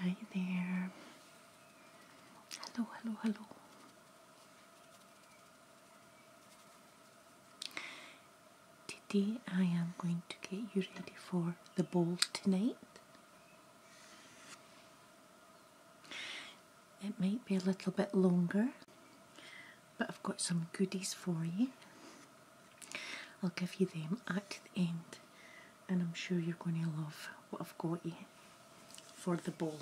Hi there. Hello, hello, hello. Today I am going to get you ready for the ball tonight. It might be a little bit longer, but I've got some goodies for you. I'll give you them at the end, and I'm sure you're going to love what I've got you for the ball.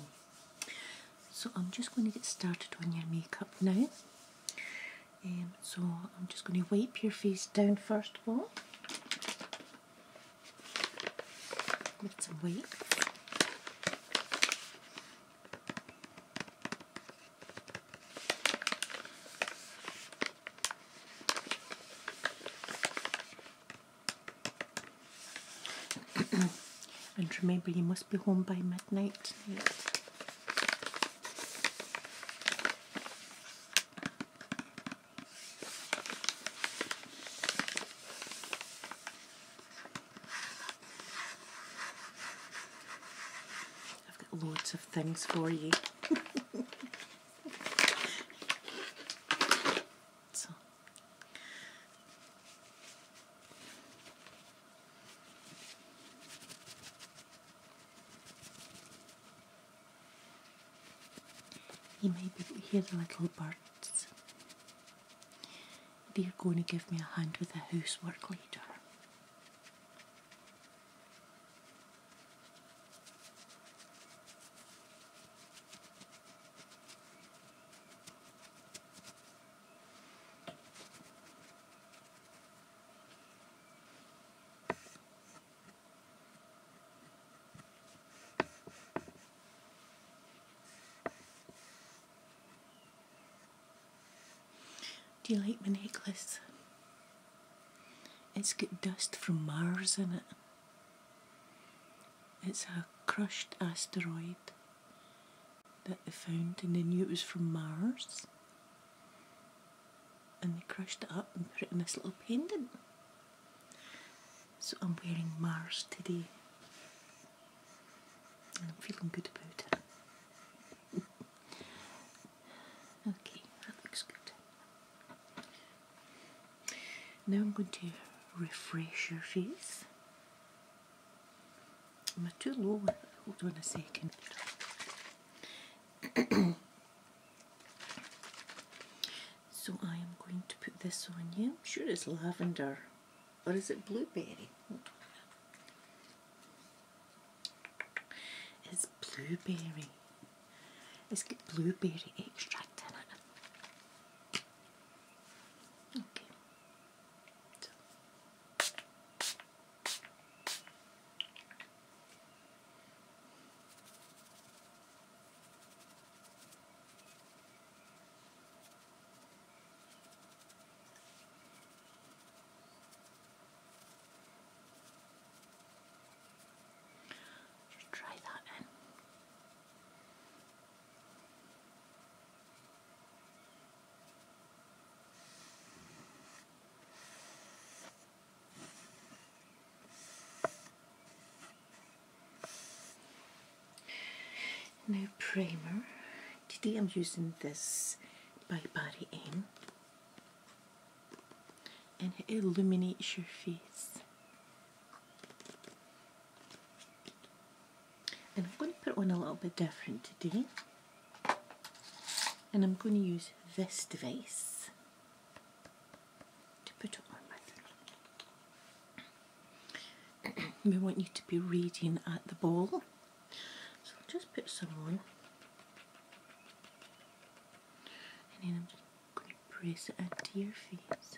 So I'm just going to get started on your makeup now. Um, so I'm just going to wipe your face down first of all with some weights. and remember, you must be home by midnight I've got loads of things for you. so. You may hear the little birds. They're going to give me a hand with the housework later. Do you like my necklace? It's got dust from Mars in it. It's a crushed asteroid that they found and they knew it was from Mars. And they crushed it up and put it in this little pendant. So I'm wearing Mars today and I'm feeling good about it. okay, that looks good. Now I'm going to refresh your face. Am I too low? Hold on a second. So I am going to put this on you. I'm sure it's lavender. Or is it blueberry? It's blueberry. It's got blueberry extract in Okay. Just try that in. Now primer. Today I'm using this by Body Aim, and it illuminates your face. And I'm going to put on a little bit different today. And I'm going to use this device. we want you to be reading at the ball. just put some on. And then I'm just going to press it into your face.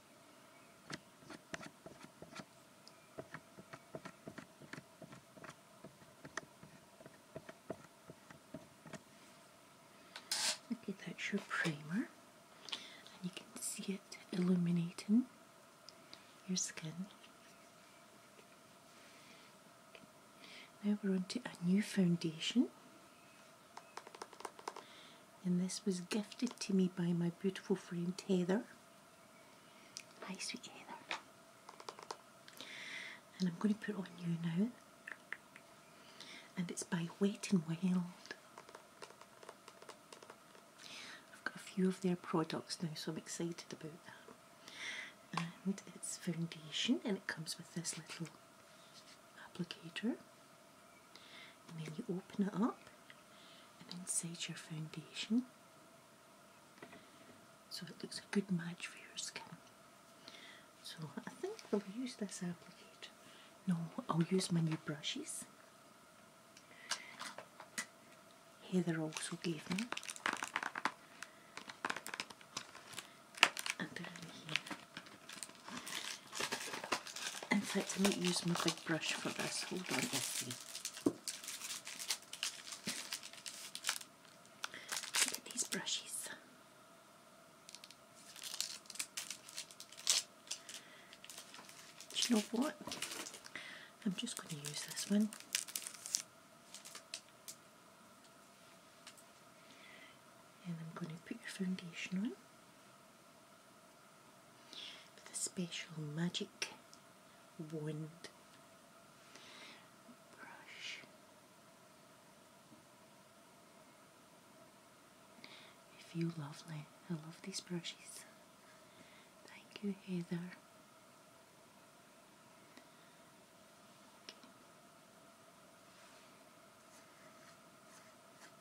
Okay, that's your primer, and you can see it illuminating your skin. Now we're on to a new foundation. And this was gifted to me by my beautiful friend Heather. Hi, sweet Heather. And I'm going to put on you now. And it's by Wet and Wild. I've got a few of their products now, so I'm excited about that. And it's foundation, and it comes with this little applicator and then you open it up and then inside your foundation so it looks a good match for your skin. So I think I will use this applicator. No, I'll use my new brushes. Heather also gave me. And here. In fact, I might use my big brush for this. Hold on, let's see. Look at these brushes. Do you know what? I'm just going to use this one. And I'm going to put your foundation on with a special magic wand brush. If you lovely, I love these brushes. Thank you, Heather.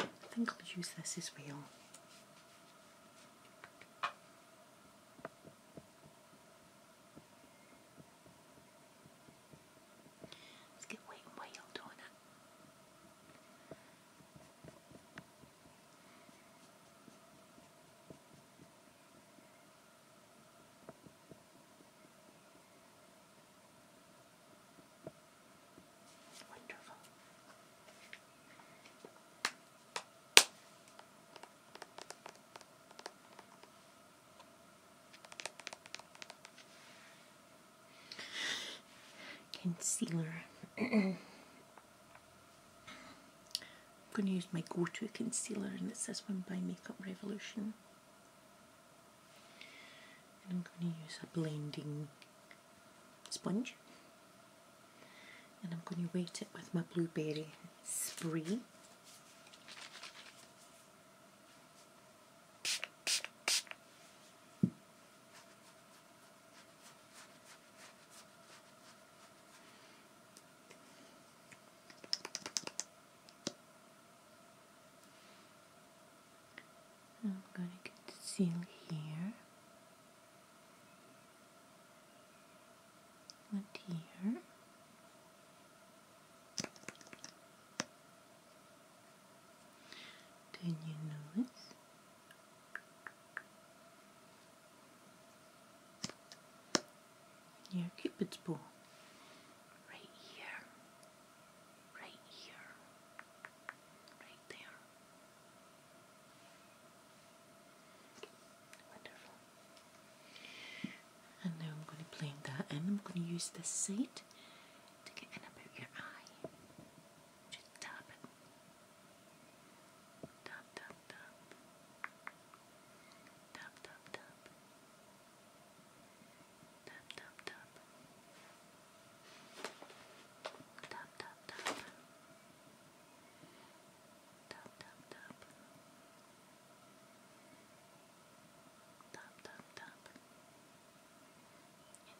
I think I'll use this as well. Let's get wet and wild on it. Concealer. I'm going to use my go-to concealer and it's this one by Makeup Revolution. And I'm going to use a blending sponge and I'm going to wet it with my blueberry spray. I'm going to conceal here and here. Then you notice your cupid's bow right here, right here, right Wonderful. And now I'm going to blend that and I'm going to use this side to get in about your eye. Just dab, dab. Dab, dab, dab. Dab, dab, dab. Tap, tap, tap. Tap, tap, tap. Tap, tap, tap.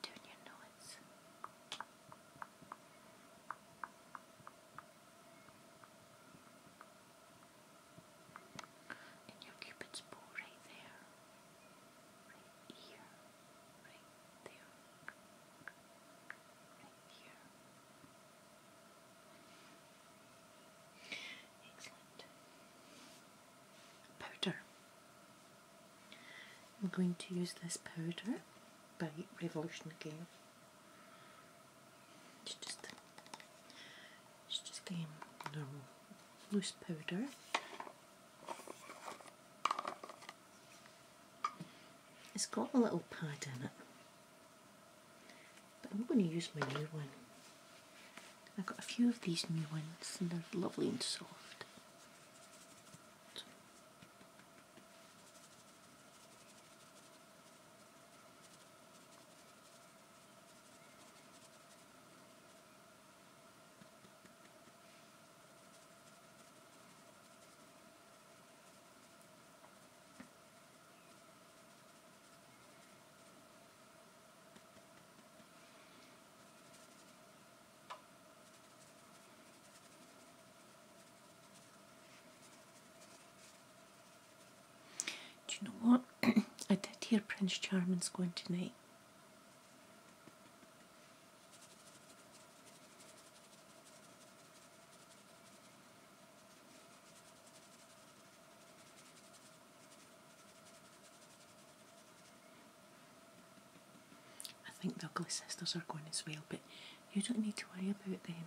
turn your nose. And your cupid's bow right there. Powder. I'm going to use this powder by Revolution again. It's just, it's just the normal loose powder. It's got a little pad in it, but I'm going to use my new one. I've got a few of these new ones and they're lovely and soft. Do you know what? I did hear Prince Charming's going tonight. I think the ugly sisters are going as well, but you don't need to worry about them.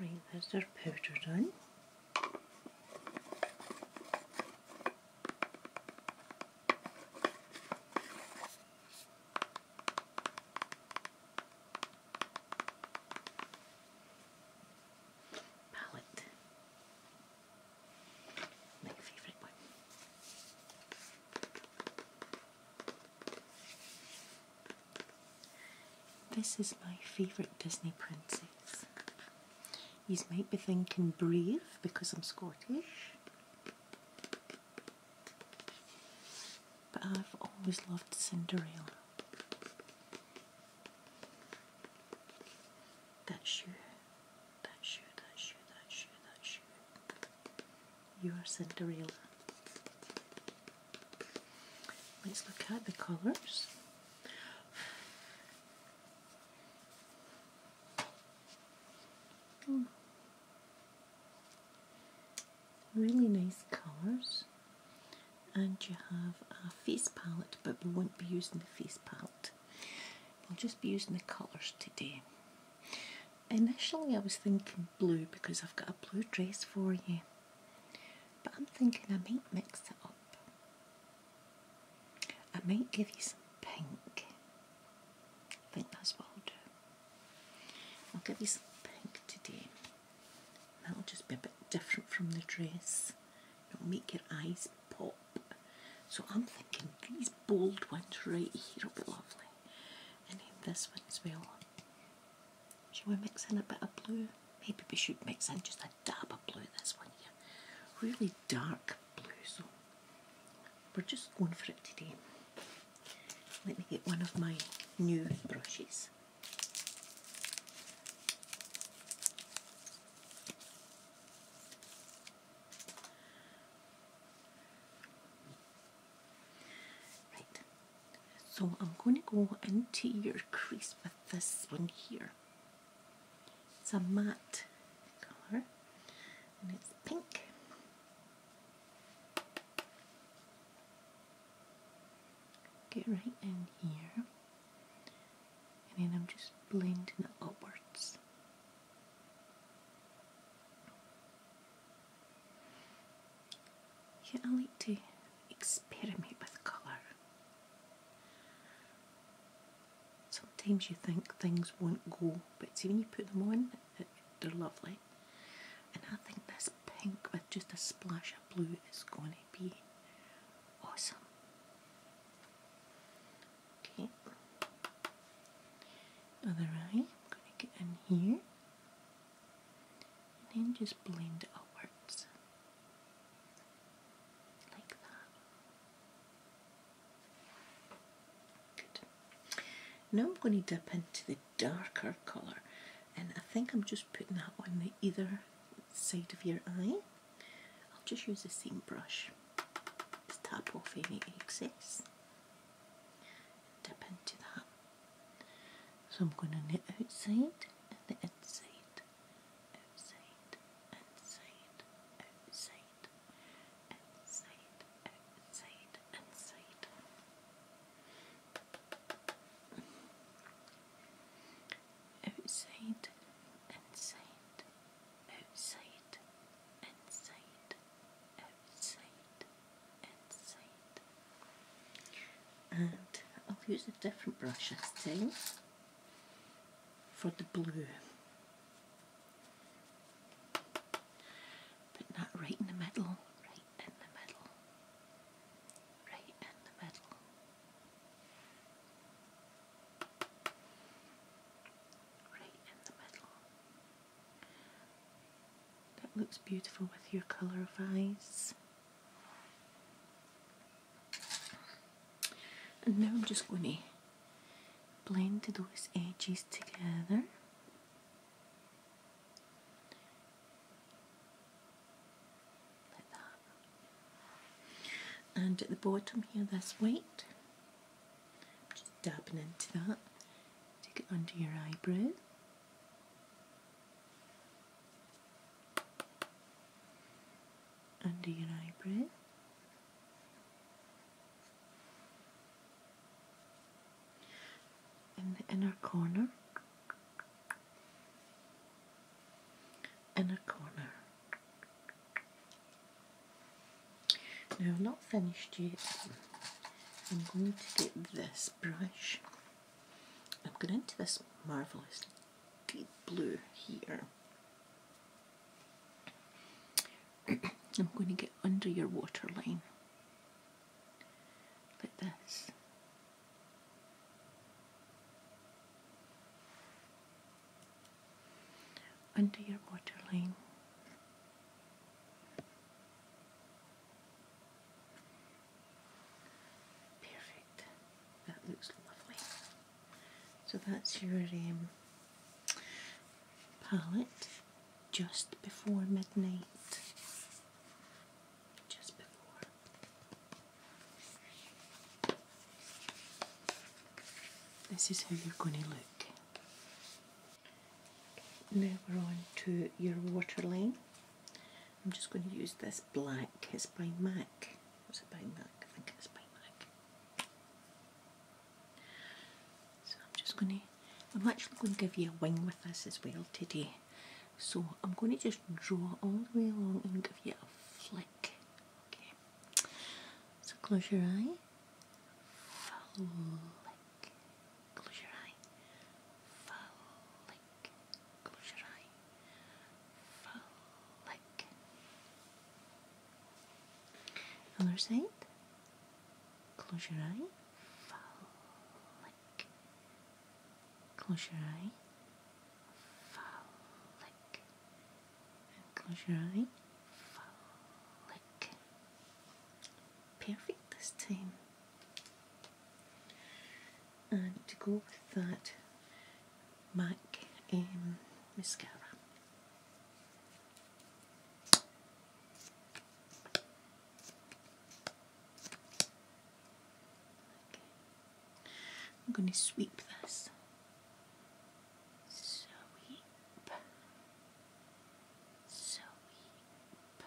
Right, that's our powder done. Palette. My favourite one. This is my favourite Disney princess. You might be thinking brave because I'm Scottish, but I've always loved Cinderella. That's you, that's you, that's you, that's you, that's you. You are Cinderella. Let's look at the colours. Hmm. Really nice colours, and you have a face palette, but we won't be using the face palette, we'll just be using the colours today. Initially, I was thinking blue because I've got a blue dress for you, but I'm thinking I might mix it up. I might give you some pink. I think that's what I'll do. I'll give you some pink today. That'll just be a bit different from the dress. It'll make your eyes pop. So I'm thinking these bold ones right here will be lovely. And then this one as well. Should we mix in a bit of blue? Maybe we should mix in just a dab of blue this one here. Really dark blue, so we're just going for it today. Let me get one of my new brushes. Right, so I'm going to go into your crease with this one here. It's a matte colour and it's pink. Get right in here and then I'm just blending upwards. Yeah, I like to experiment with colour. Sometimes you think things won't go, but see when you put them on, they're lovely. And I think this pink with just a splash of blue is going to be awesome. Okay, other eye, I'm going to get in here and then just blend outwards like that. Good. Now I'm going to dip into the darker colour and I think I'm just putting that on the either side of your eye. I'll just use the same brush. Just tap off any excess. Dip into that. So I'm going on the outside and the inside, outside, inside, outside, inside, outside, inside. Outside, inside, outside, inside, outside, and I'll use a different brush this time for the blue. But not right in the middle, right in the middle, right in the middle. Right in the middle. That looks beautiful with your colour of eyes. And now I'm just going to blend those edges together. Like that. And at the bottom here, this white, just dabbing into that, take it under your eyebrow under your eyebrow. In the inner corner, inner corner. Now, I'm not finished yet. I'm going to get this brush I'm going into this marvellous deep blue here. I'm going to get under your waterline like this. Under your waterline. Perfect. That looks lovely. So that's your um, palette just before midnight. Just before. This is how you're going to look. Now we're on to your waterline. I'm just going to use this black, it's by MAC. Was it by MAC? I think it's by MAC. So I'm just going to, I'm actually going to give you a wing with this as well today. So I'm going to just draw all the way along and give you a flick. So close your eye. Flick close your eye, Folic, close your eye, Folic. Other side, close your eye, Folic, close your eye, Folic, close your eye, Folic. Perfect this time and to go with that MAC um, mascara. Okay. I'm going to sweep this. Sweep. Sweep.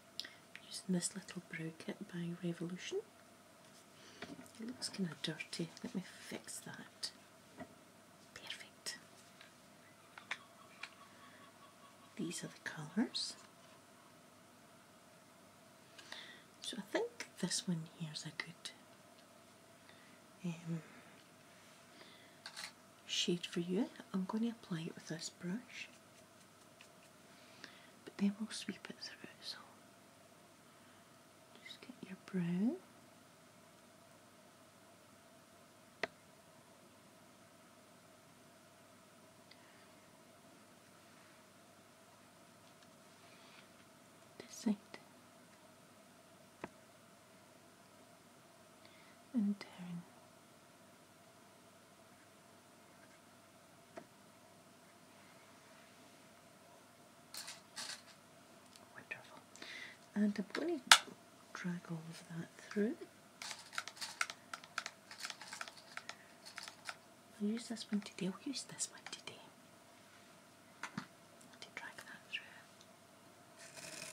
using this little brooch kit by Revolution. It looks kind of dirty. Let me fix that. Perfect. These are the colours. So I think this one here is a good um, shade for you. I'm going to apply it with this brush but then we'll sweep it through. So just get your brow. This And down. Wonderful. And I'm going to drag all of that through. I'll use this one today. use this one today to drag that through.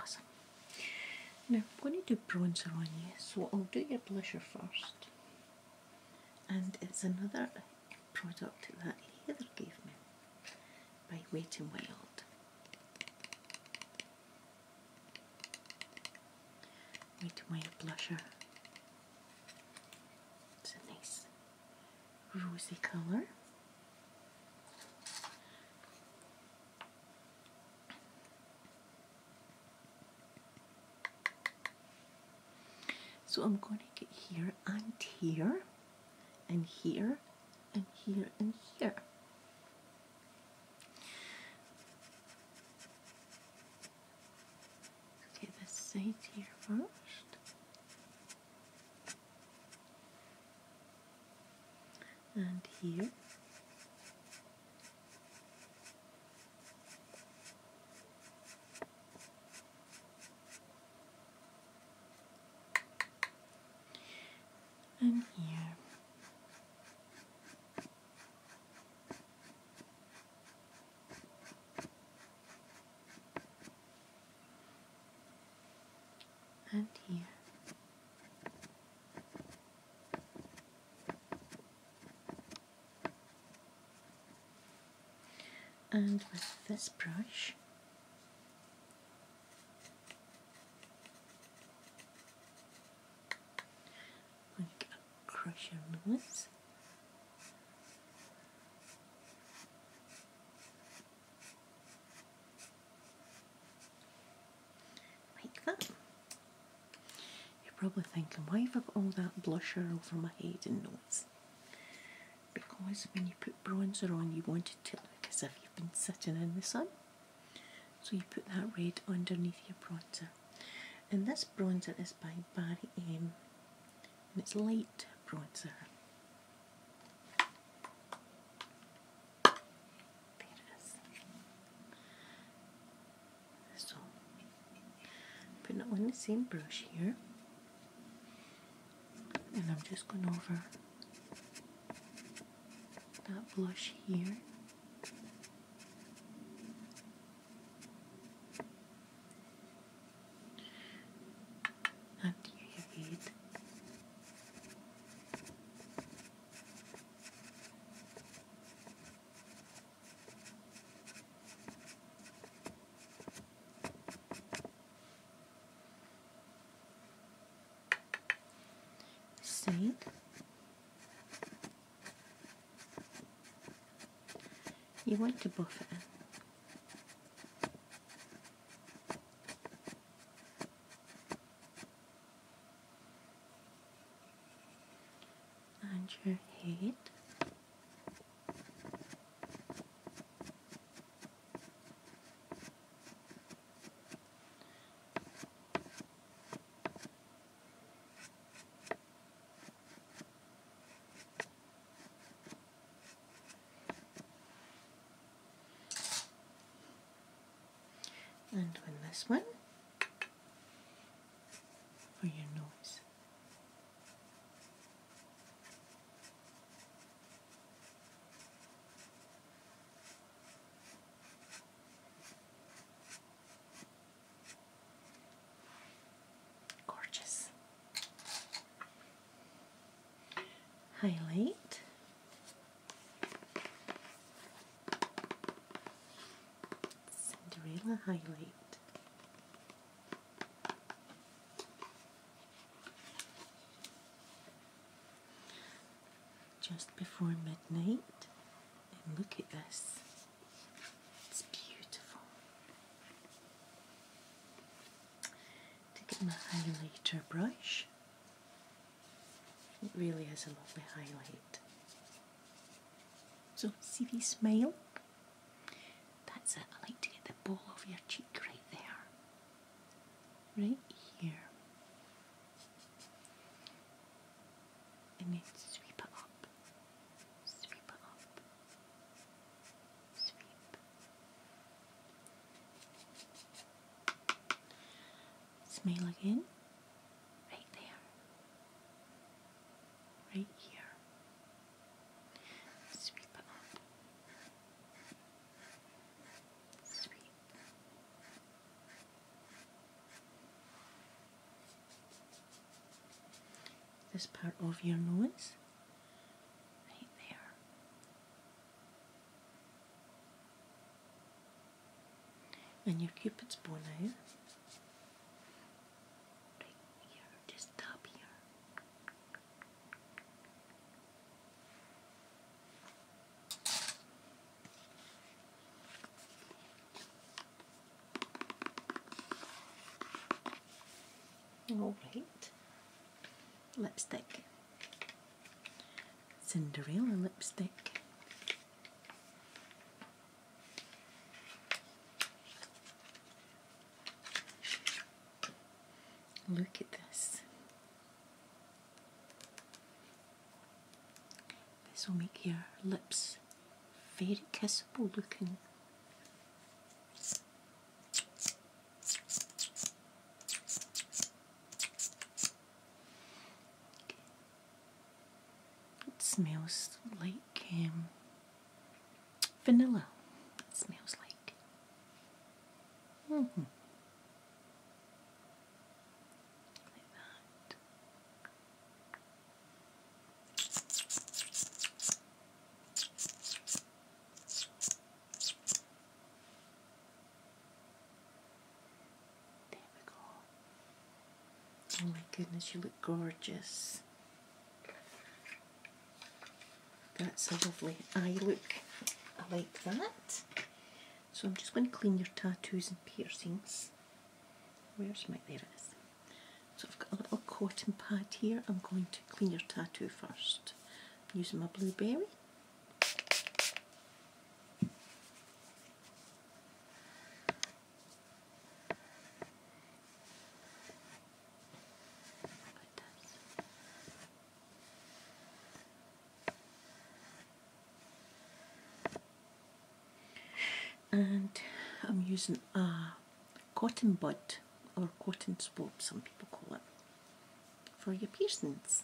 Awesome. Now I'm going to do bronzer on you, so I'll do your blusher first. And it's another product that Heather gave me by Wet n Wild. Wet n Wild blusher it's a nice rosy color. So I'm going to get here and here and here and here and here. Okay, this side here first. And here. And here and here. And with this brush, we crush your nose. Like that. You're probably thinking, why have I got all that blusher over my head and nose? Because when you put bronzer on, you want it to look as if you've been sitting in the sun. So you put that red underneath your bronzer. And this bronzer is by Barry M and it's light bronzer. So, putting it on the same brush here, and I'm just going over that blush here. After you read, Saint you want to buff it, and your head and when this one for your nose. Gorgeous. Highlight. Cinderella highlight. Just before midnight, look at this. It's beautiful. To get my highlighter brush. It really has a lovely highlight. So, see the smile? That's it. I like to get the ball of your cheek right there. Right here. And then sweep it up. Sweep it up sweep. Smell again. Right there. Right here. Sweep up. Sweep this part of your nose, right there. And your cupid's bow now, right here, just up here. Alright, lipstick. Cinderella lipstick. Look at this. This will make your lips very kissable looking. It smells like um, vanilla. It smells like. -hmm. Like that. There we go. Oh my goodness, you look gorgeous. That's a lovely eye look. I like that. So I'm just going to clean your tattoos and piercings. Where's my... There so I've got a little cotton pad here. I'm going to clean your tattoo 1st using my blueberry. and I'm using a cotton bud or cotton swab, some people call it, for your piercings.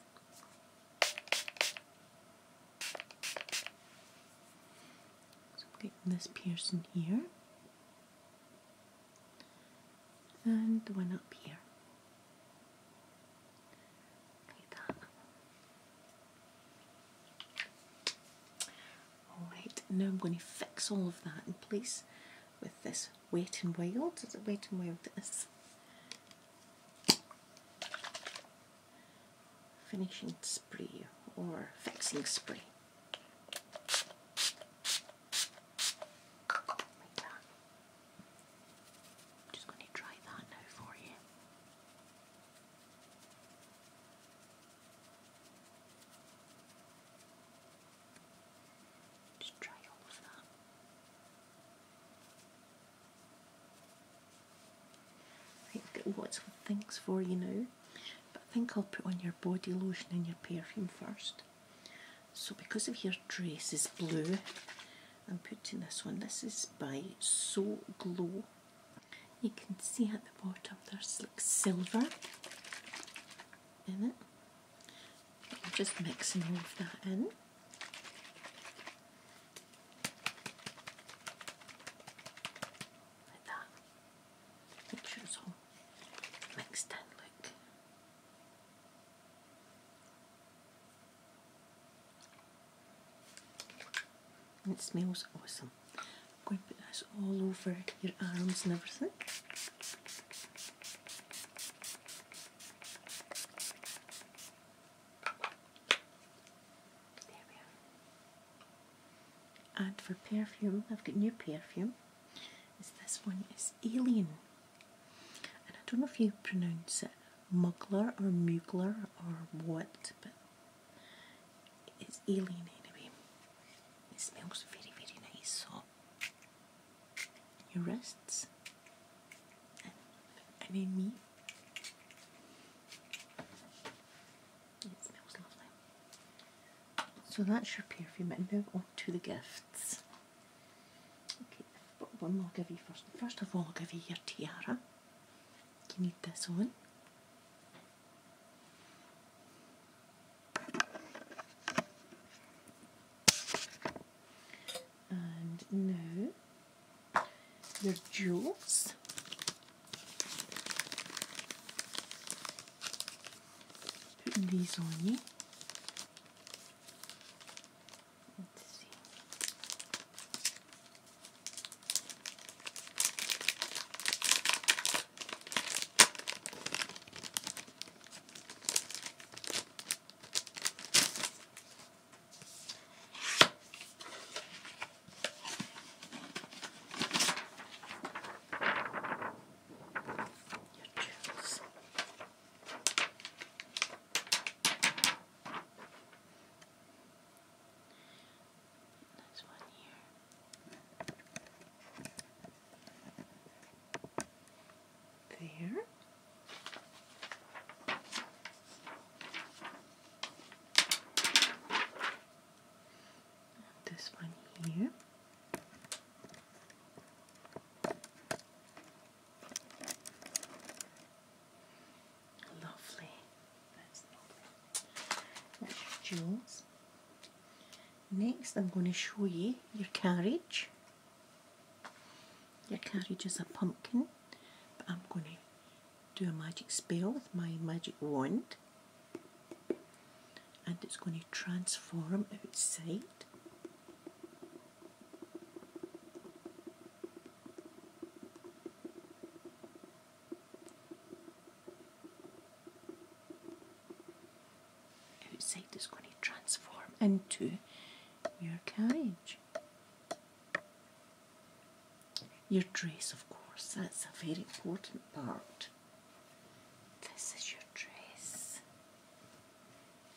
So getting this piercing here and one up here. Like that. Alright, now I'm going to fix all of that in place with this wet and wild. Is it wet and wild? This Finishing spray or fixing spray. just going to dry that now for you. Just try all of that. I've got lots of things for you now, but I think I'll put on your body lotion and your perfume first. So because of your dress is blue, I'm putting this one. This is by So Glow. You can see at the bottom there's like silver in it. just mixing all of that in. Like that. Make sure it's all mixed in, look. it smells awesome. I'm going to put this all over your arms and everything. There we are. And for perfume, I've got new perfume. Is this one is Alien, and I don't know if you pronounce it Muggler or Mugler or what, but it's Alien anyway. It smells very very nice, so your wrists, I mean me. It smells lovely. So that's your perfume, and move on to the gifts. Okay, but one I'll give you first. First of all, I'll give you your tiara. You need this one. And now your jewels. Put these on you. Your jewels. This one here. There. This one here. Lovely. That's lovely. That's jewels. Next I'm going to show you your carriage. Your carriage is a pumpkin but I'm going to do a magic spell with my magic wand and it's going to transform outside outside is going to transform into your carriage. Your dress, of course, that's a very important part. This is your dress.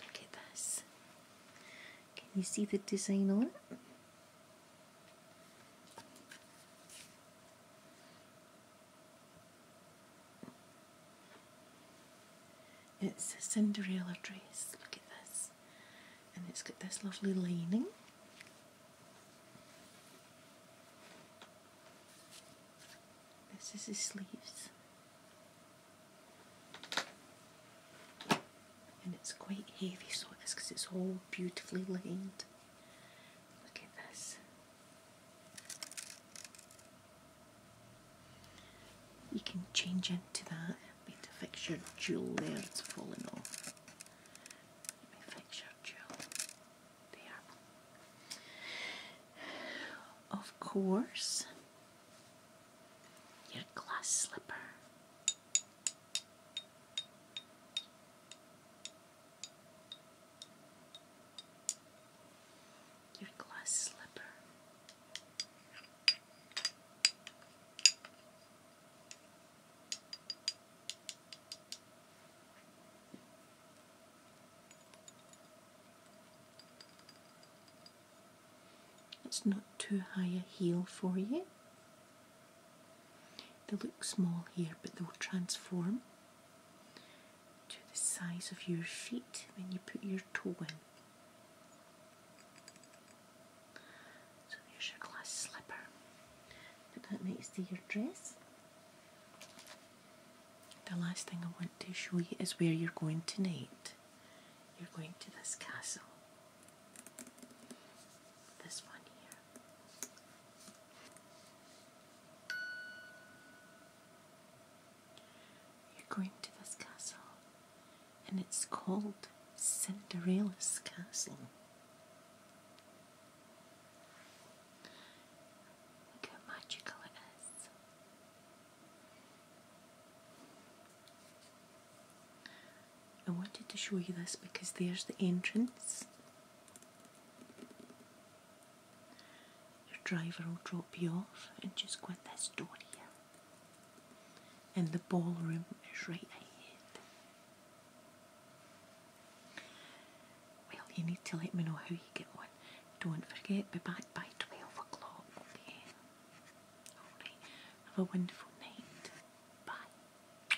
Look at this. Can you see the design on it? It's a Cinderella dress, look at this. And it's got this lovely lining. This is the sleeves. And it's quite heavy, so it is because it's all beautifully lined. Look at this. You can change into that a to fix your jewel there, it's falling off. fix your jewel. There. Of course, your glass slipper your glass slipper. It's not too high a heel for you. They look small here, but they'll transform to the size of your feet when you put your toe in. So there's your glass slipper. Put that next to your dress. The last thing I want to show you is where you're going tonight. You're going to this castle. This one here. You're going to this castle, and it's called Cinderella's Castle. Look how magical it is. I wanted to show you this because there's the entrance. The driver will drop you off and just go in this door here. And the ballroom is right ahead. Well, you need to let me know how you get on. Don't forget, be back by 12 o'clock, okay? have a wonderful night. Bye.